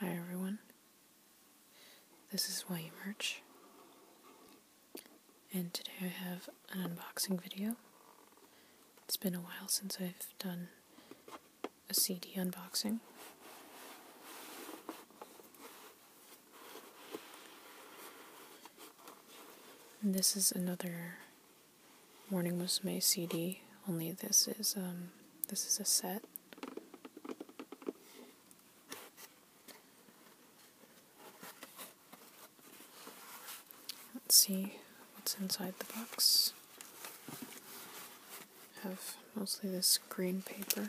Hi everyone. This is William Merch. And today I have an unboxing video. It's been a while since I've done a CD unboxing. this is another Morning was CD, only this is um this is a set. Let's see what's inside the box. have mostly this green paper.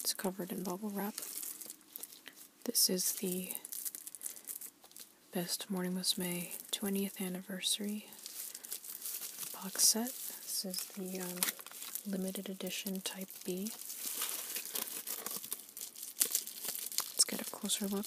It's covered in bubble wrap. This is the Best Morning Musume 20th anniversary box set. This is the um, limited edition Type B. Let's get a closer look.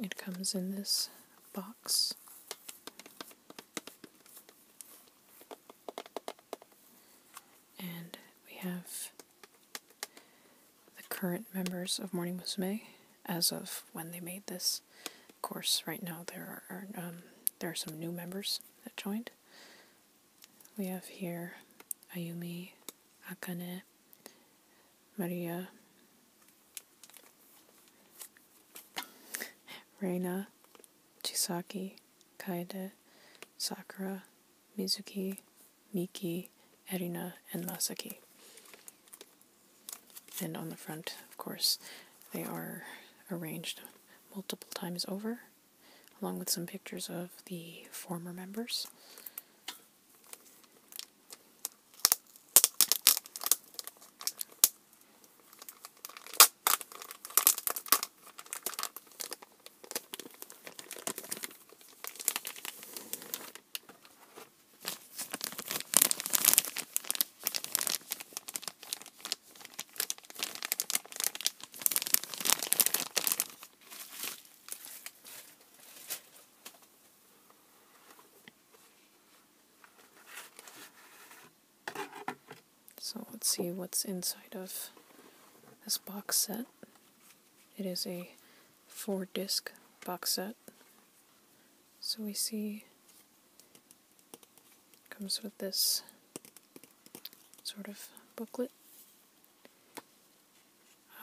It comes in this box. And we have the current members of Morning Musume as of when they made this. Of course, right now there are um, there are some new members that joined. We have here Ayumi, Akane, Maria, Reina, Chisaki, Kaede, Sakura, Mizuki, Miki, Erina, and Masaki. And on the front, of course, they are arranged multiple times over along with some pictures of the former members. So let's see what's inside of this box set. It is a four disc box set. So we see comes with this sort of booklet.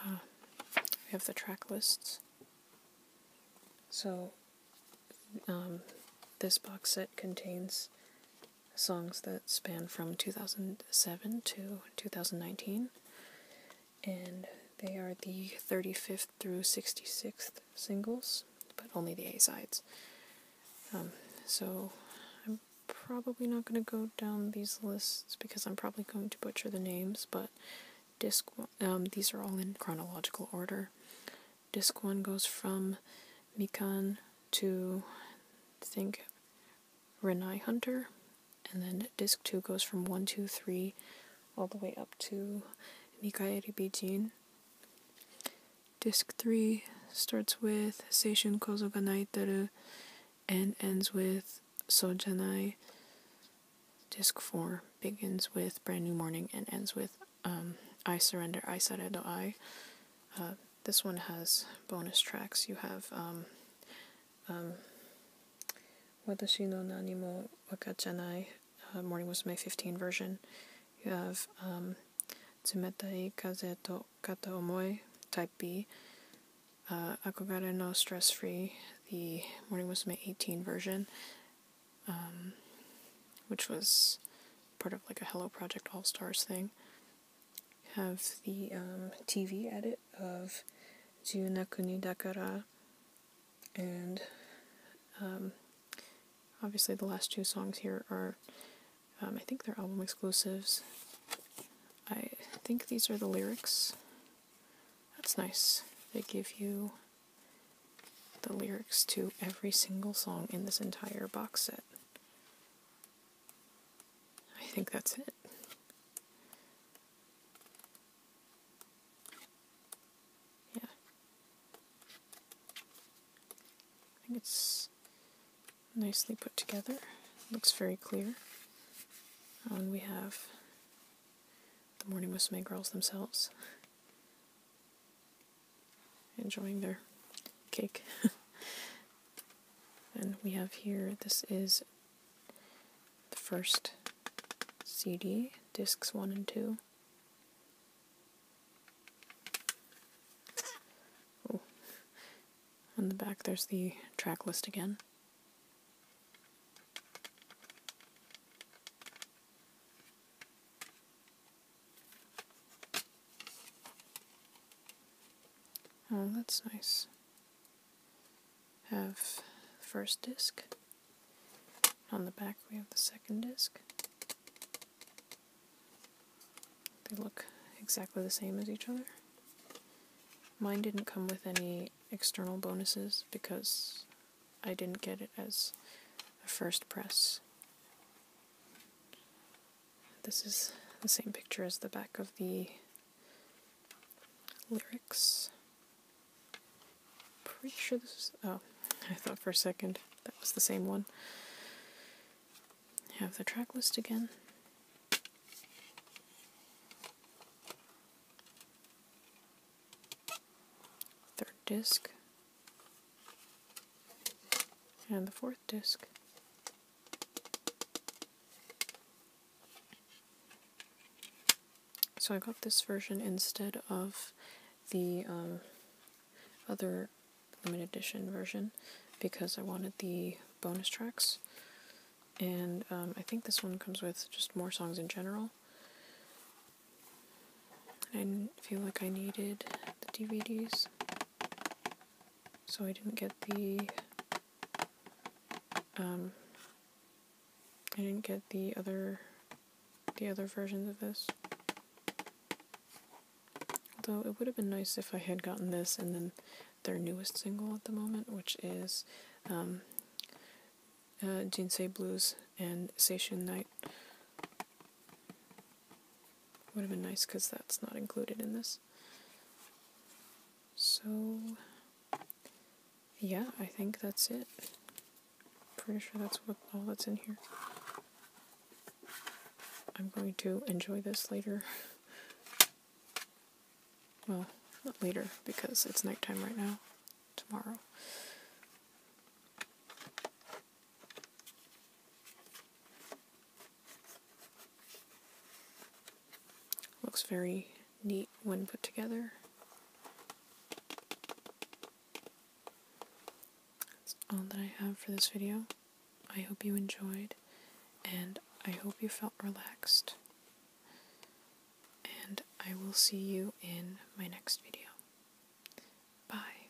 Um, we have the track lists. So, um, this box set contains songs that span from 2007 to 2019, and they are the 35th through 66th singles, but only the A sides. Um, so I'm probably not going to go down these lists because I'm probably going to butcher the names, but disc um, these are all in chronological order. Disc one goes from Mikan to I think Renai Hunter, and then disc two goes from one, two, three, all the way up to Mikaeri Bijin. Disc 3 starts with Seishun Kozo ga and ends with Sojanai. Disc 4 begins with Brand New Morning and ends with um, I Surrender, I Saredo I. Uh, this one has bonus tracks. You have um, um no Nani mo uh, Morning Musume 15 version. You have Zumetai um, Kaze to Kata Omoi, Type B, uh, Akogare no Stress Free, the Morning Musume 18 version, um, which was part of like a Hello Project All Stars thing. Have the um, TV edit of Jiunakuni Dakara and um, obviously the last two songs here are, um, I think they're album exclusives. I think these are the lyrics. That's nice. They give you the lyrics to every single song in this entire box set. I think that's it. Yeah. I think it's nicely put together. Looks very clear. Oh, and we have the Morning Musume girls themselves enjoying their cake. and we have here, this is the first CD, discs 1 and 2. Oh, on the back there's the track list again. Oh, that's nice. Have first disc. On the back, we have the second disc. They look exactly the same as each other. Mine didn't come with any external bonuses because I didn't get it as a first press. This is the same picture as the back of the lyrics. Pretty sure this is. Oh, I thought for a second that was the same one. Have the track list again. Third disc. And the fourth disc. So I got this version instead of the um, other limited edition version because I wanted the bonus tracks. And um, I think this one comes with just more songs in general. I didn't feel like I needed the DVDs, so I didn't get the um, I didn't get the other the other versions of this. Although it would have been nice if I had gotten this and then their newest single at the moment, which is um, uh, Blues and Seishun Night. Would have been nice because that's not included in this. So, yeah, I think that's it. Pretty sure that's what all that's in here. I'm going to enjoy this later. Well, not later because it's nighttime right now. Tomorrow. Looks very neat when put together. That's all that I have for this video. I hope you enjoyed, and I hope you felt relaxed. And I will see you in my next video. Bye.